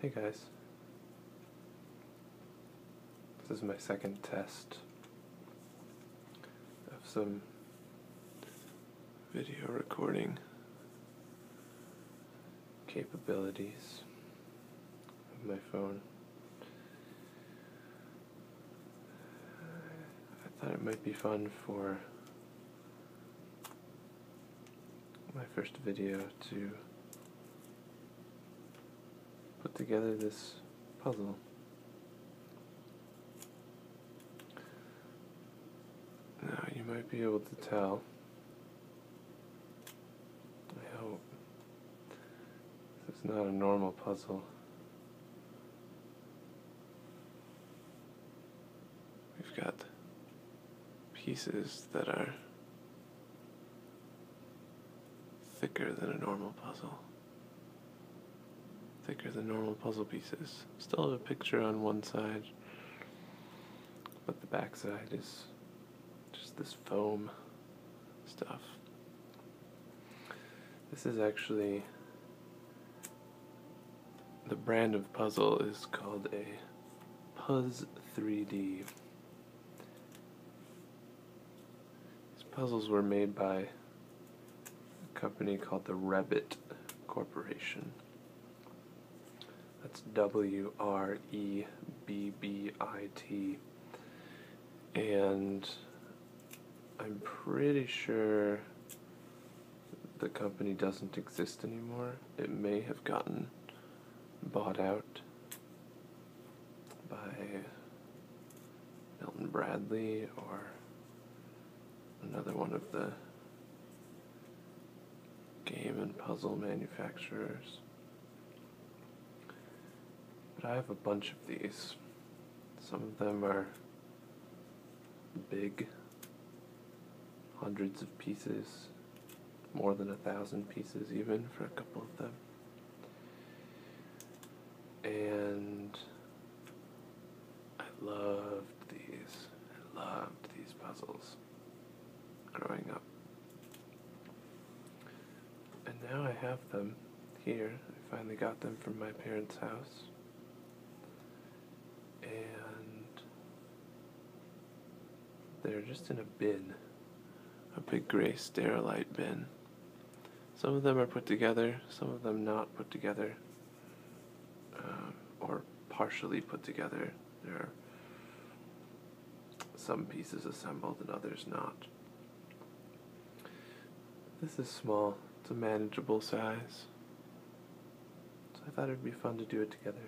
Hey guys. This is my second test of some video recording capabilities of my phone. I thought it might be fun for my first video to put together this puzzle. Now you might be able to tell, I hope, this is not a normal puzzle. We've got pieces that are thicker than a normal puzzle. Thicker than normal puzzle pieces. Still have a picture on one side, but the back side is just this foam stuff. This is actually the brand of puzzle is called a Puzz 3D. These puzzles were made by a company called the Rabbit Corporation. That's W R E B B I T. And I'm pretty sure the company doesn't exist anymore. It may have gotten bought out by Milton Bradley or another one of the game and puzzle manufacturers. But I have a bunch of these. Some of them are big hundreds of pieces, more than a thousand pieces, even for a couple of them. And I loved these. I loved these puzzles growing up. And now I have them here. I finally got them from my parents' house and they're just in a bin, a big gray sterilite bin. Some of them are put together, some of them not put together, uh, or partially put together. There are some pieces assembled and others not. This is small, it's a manageable size. So I thought it would be fun to do it together.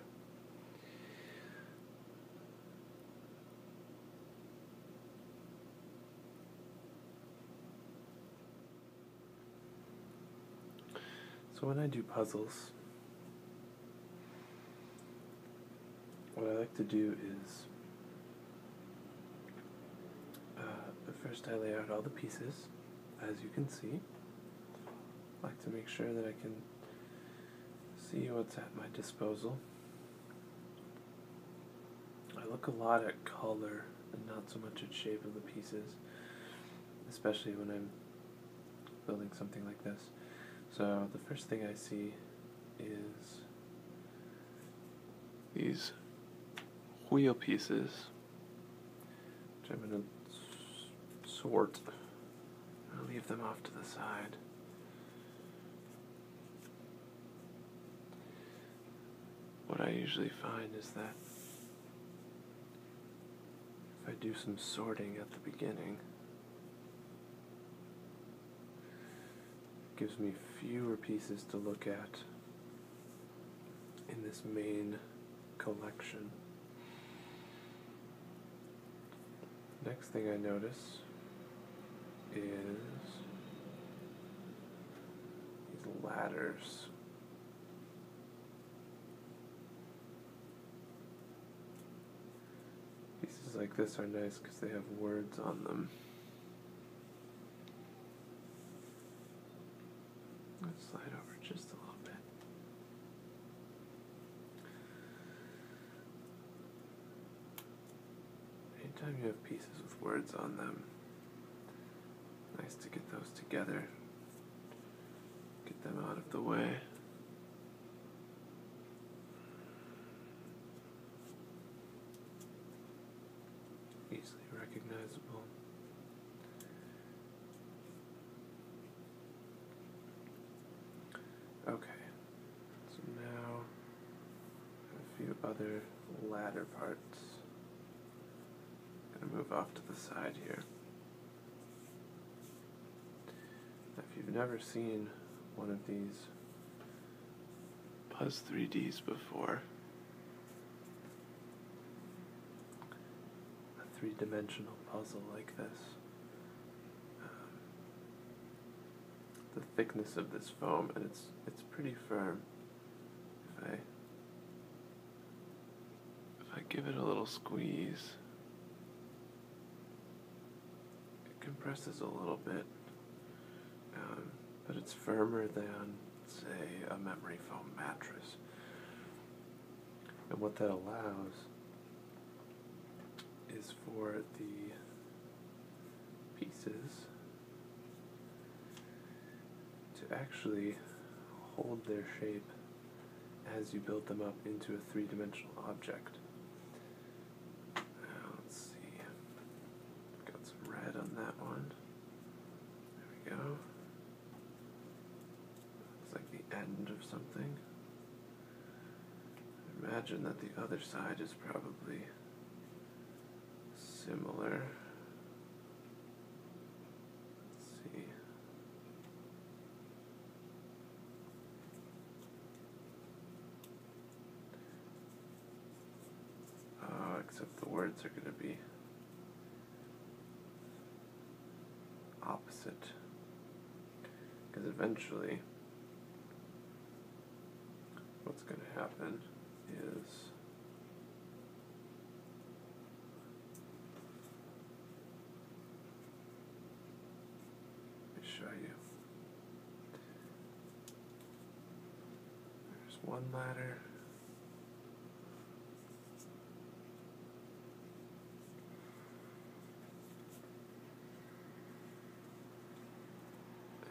So when I do puzzles, what I like to do is uh, first I lay out all the pieces, as you can see, like to make sure that I can see what's at my disposal. I look a lot at color and not so much at shape of the pieces, especially when I'm building something like this. So the first thing I see is these wheel pieces which I'm going to sort. I'll leave them off to the side. What I usually find is that if I do some sorting at the beginning, gives me fewer pieces to look at in this main collection. Next thing I notice is these ladders. Pieces like this are nice because they have words on them. Let's slide over just a little bit. Anytime you have pieces with words on them, nice to get those together, get them out of the way. Easily recognizable. Okay, so now a few other ladder parts. I'm going to move off to the side here. if you've never seen one of these Buzz 3Ds before, a three dimensional puzzle like this. Um, the thickness of this foam, and it's it's pretty firm. If I if I give it a little squeeze, it compresses a little bit, um, but it's firmer than say a memory foam mattress. And what that allows is for the pieces to actually hold their shape as you build them up into a three dimensional object. Uh, let's see, got some red on that one. There we go. It's like the end of something. imagine that the other side is probably similar. see. Oh, except the words are going to be opposite. Because eventually, what's going to happen is. show you. There's one ladder.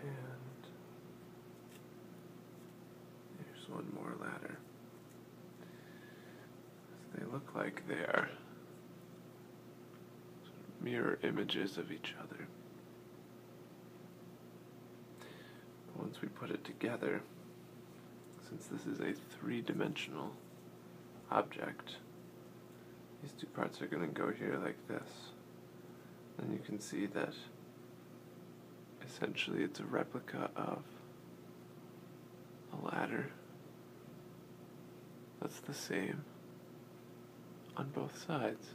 And there's one more ladder. they look like they are mirror images of each other once we put it together, since this is a three-dimensional object, these two parts are going to go here like this. And you can see that essentially it's a replica of a ladder that's the same on both sides.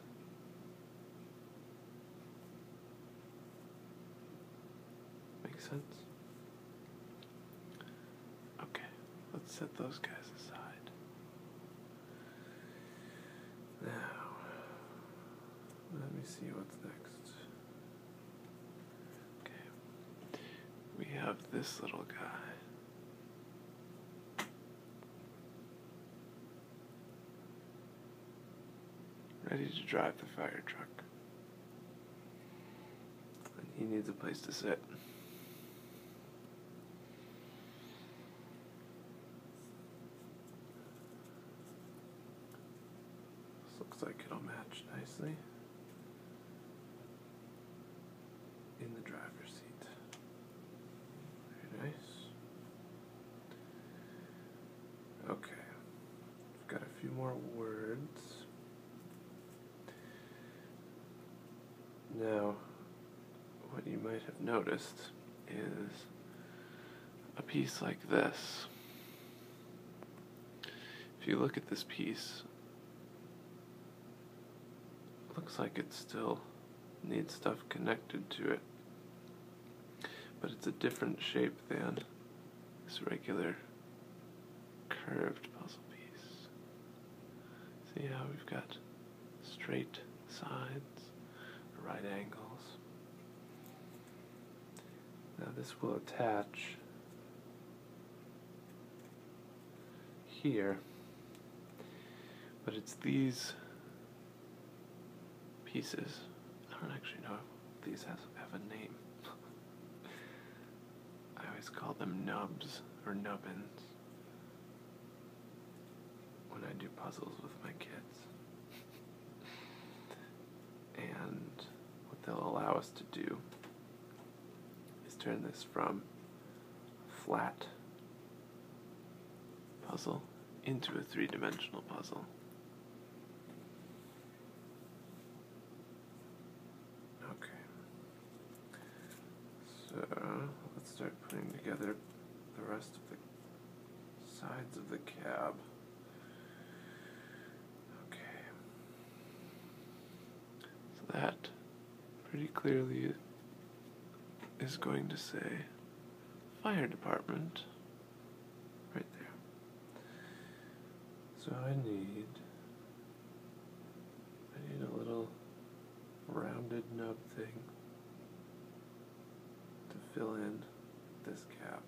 Makes sense? Okay, let's set those guys aside. Now, let me see what's next. Okay, we have this little guy. Ready to drive the fire truck. He needs a place to sit. looks like it'll match nicely in the driver's seat. Very nice. Okay. We've got a few more words. Now, what you might have noticed is a piece like this. If you look at this piece, looks like it still needs stuff connected to it, but it's a different shape than this regular curved puzzle piece. See how we've got straight sides, right angles. Now this will attach here, but it's these pieces I don't actually know if these have, a name. I always call them nubs or nubbins when I do puzzles with my kids. and what they'll allow us to do is turn this from flat puzzle into a three dimensional puzzle. Okay. So let's start putting together the rest of the sides of the cab. Okay. So that pretty clearly is going to say fire department. Right there. So I need I need a little rounded nub thing to fill in this gap.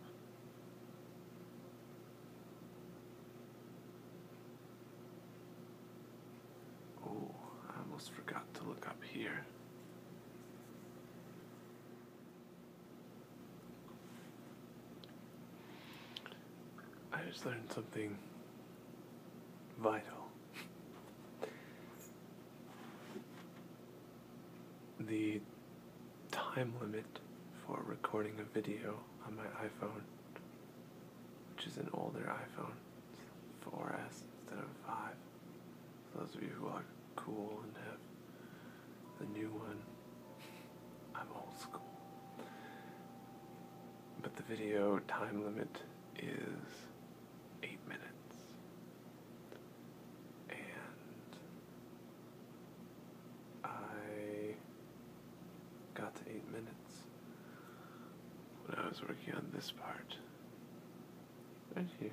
Oh, I almost forgot to look up here. I just learned something vital. the time limit for recording a video on my iPhone, which is an older iPhone, 4S instead of 5. For those of you who are cool and have the new one. I'm old school. But the video time limit is eight minutes. And I got to eight minutes when I was working on this part. Right here.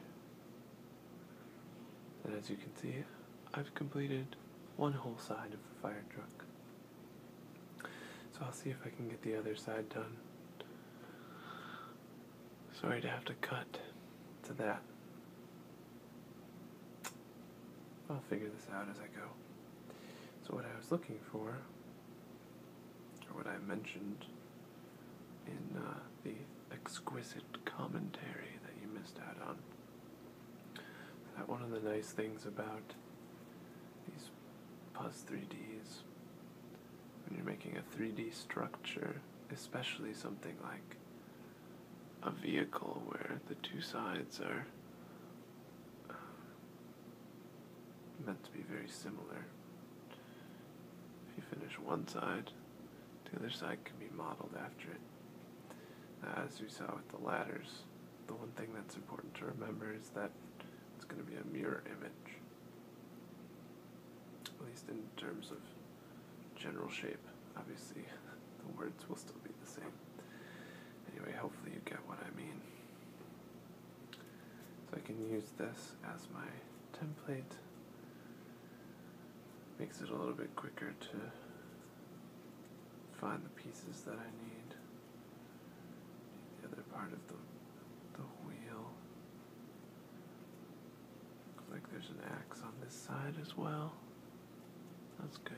And as you can see, I've completed one whole side of the fire truck. So I'll see if I can get the other side done. Sorry to have to cut to that. I'll figure this out as I go. So, what I was looking for, or what I mentioned in uh, the exquisite commentary that you missed out on, that one of the nice things about these Puzz 3Ds when you're making a 3D structure, especially something like a vehicle where the two sides are uh, meant to be very similar. If you finish one side, the other side can be modeled after it. Uh, as we saw with the ladders, the one thing that's important to remember is that it's going to be a mirror image, at least in terms of general shape. Obviously, the words will still be the same. Anyway, hopefully, you get what I mean. So, I can use this as my template, makes it a little bit quicker to find the pieces that I need. The other part of the the wheel. Looks like there's an axe on this side as well. That's good.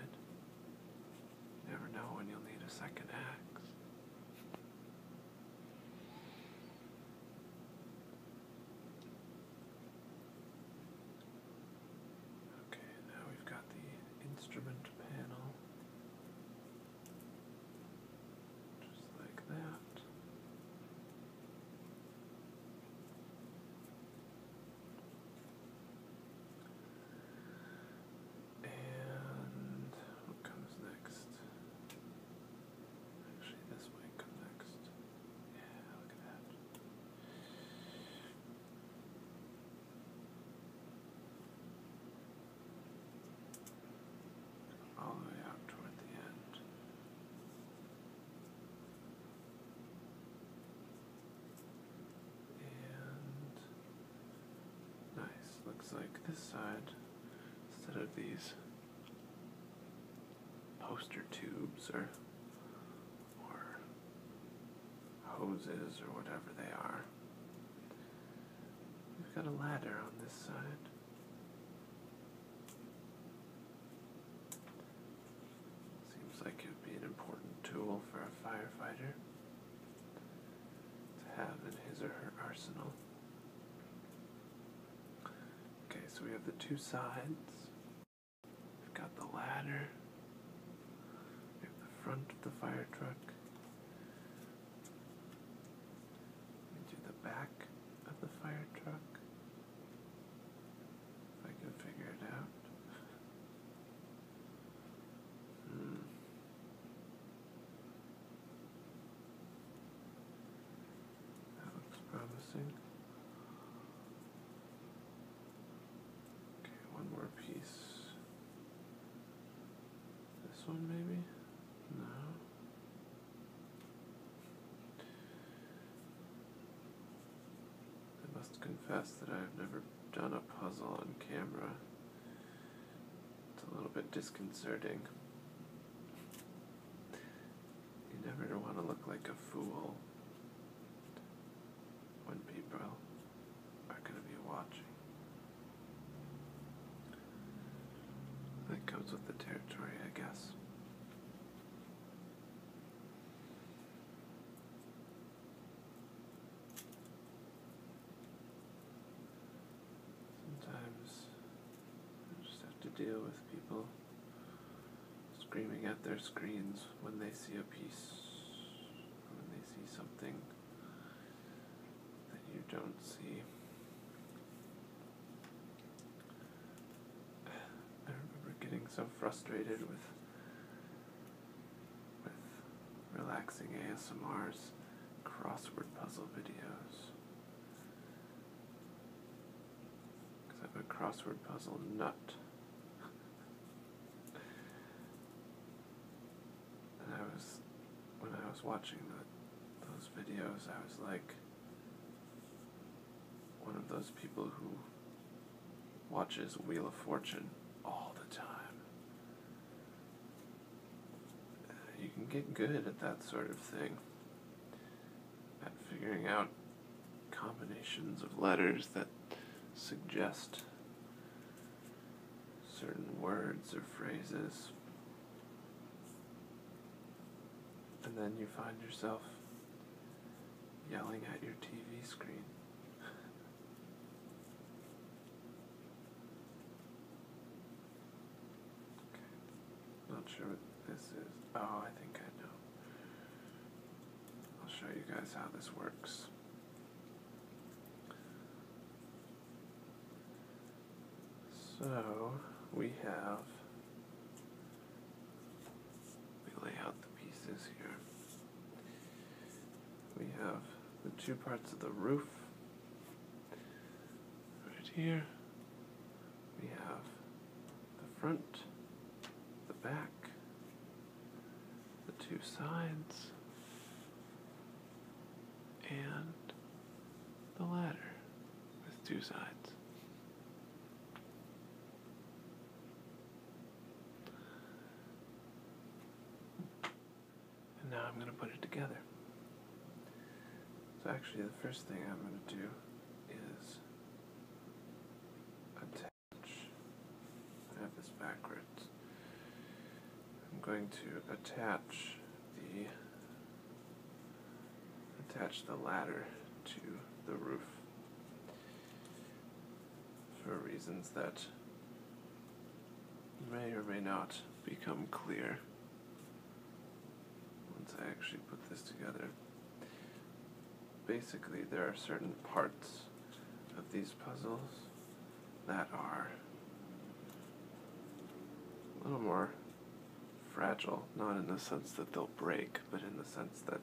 Never know when you'll need a second axe. Okay, now we've got the instrument panel. Just like that. And what comes next? Actually, this wing comes next. Yeah, look at that all the way out toward the end. And nice, looks like this side, instead of these poster tubes or or hoses or whatever they are. We've got a ladder on this side. Seems like it would be an important tool for a firefighter to have in his or her arsenal. Okay, so we have the two sides. We've got the ladder. We have the front of the fire truck. We do the back of the fire truck. If I can figure it out. hmm. That promising. Okay, one more piece. This one, maybe? No. I must confess that I have never done a puzzle on camera. It's a little bit disconcerting. You never want to look like a fool when people are going to be watching. That goes with the territory, I guess. Sometimes I just have to deal with people screaming at their screens when they see a piece, when they see something that you don't see. I remember getting so frustrated with with relaxing ASMRs, crossword puzzle videos. Because I'm a crossword puzzle nut. and I was, when I was watching those videos, I was like one of those people who watches Wheel of Fortune all the time. You can get good at that sort of thing at figuring out combinations of letters that suggest certain words or phrases. And then you find yourself yelling at your TV screen. Not sure this is. Oh, I think I know. I'll show you guys how this works. So we have. We lay out the pieces here. We have the two parts of the roof right here, we have the front, the back, the two sides, and the ladder with two sides. And now I'm going to put it together. So, actually, the first thing I'm going to do is attach. I have this backwards. I'm going to attach the attach the ladder to the roof for reasons that may or may not become clear once I actually put this together basically there are certain parts of these puzzles that are a little more fragile, not in the sense that they'll break, but in the sense that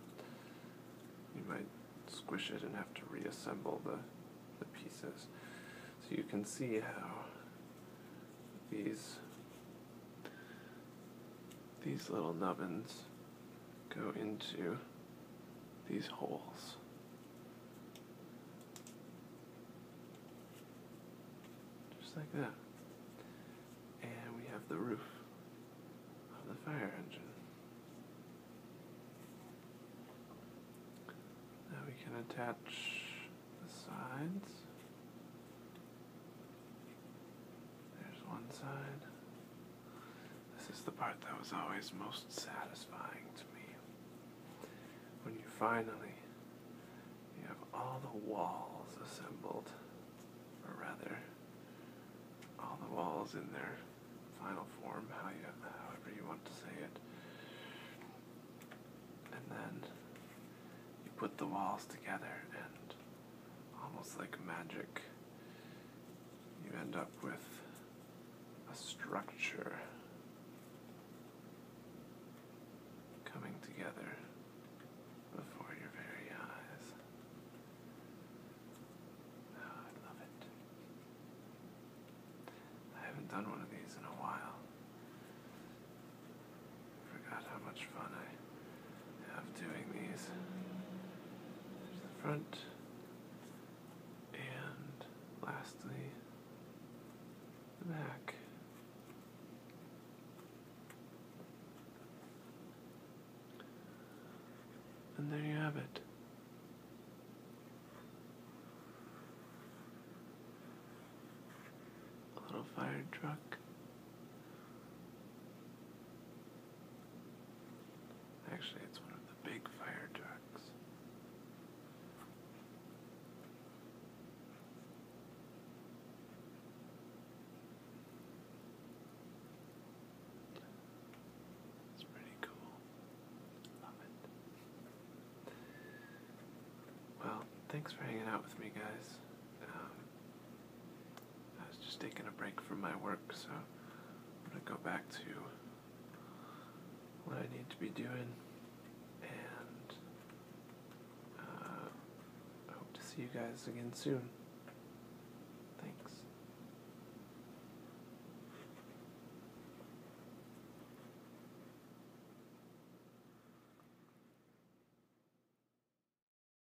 you might squish it and have to reassemble the, the pieces. So you can see how these these little nubbins go into these holes. Just like that. And we have the roof of the fire engine. Now we can attach the sides there's one side. This is the part that was always most satisfying to me. When you finally you have all the walls assembled, or rather, all the walls in their final form, how you, however you want to say it. And then you put the walls together and almost like magic, you end up with a structure coming together before your very eyes. Ah, I love it. I haven't done one of these in a while. forgot how much fun I of doing these. There's the front, and lastly, the back. And there you have it. A little fire truck. Actually, it's one of the big fire trucks. It's pretty cool. Love it. Well, thanks for hanging out with me, guys. Um, I was just taking a break from my work, so I'm going to go back to what I need to be doing, and uh, I hope to see you guys again soon. Thanks.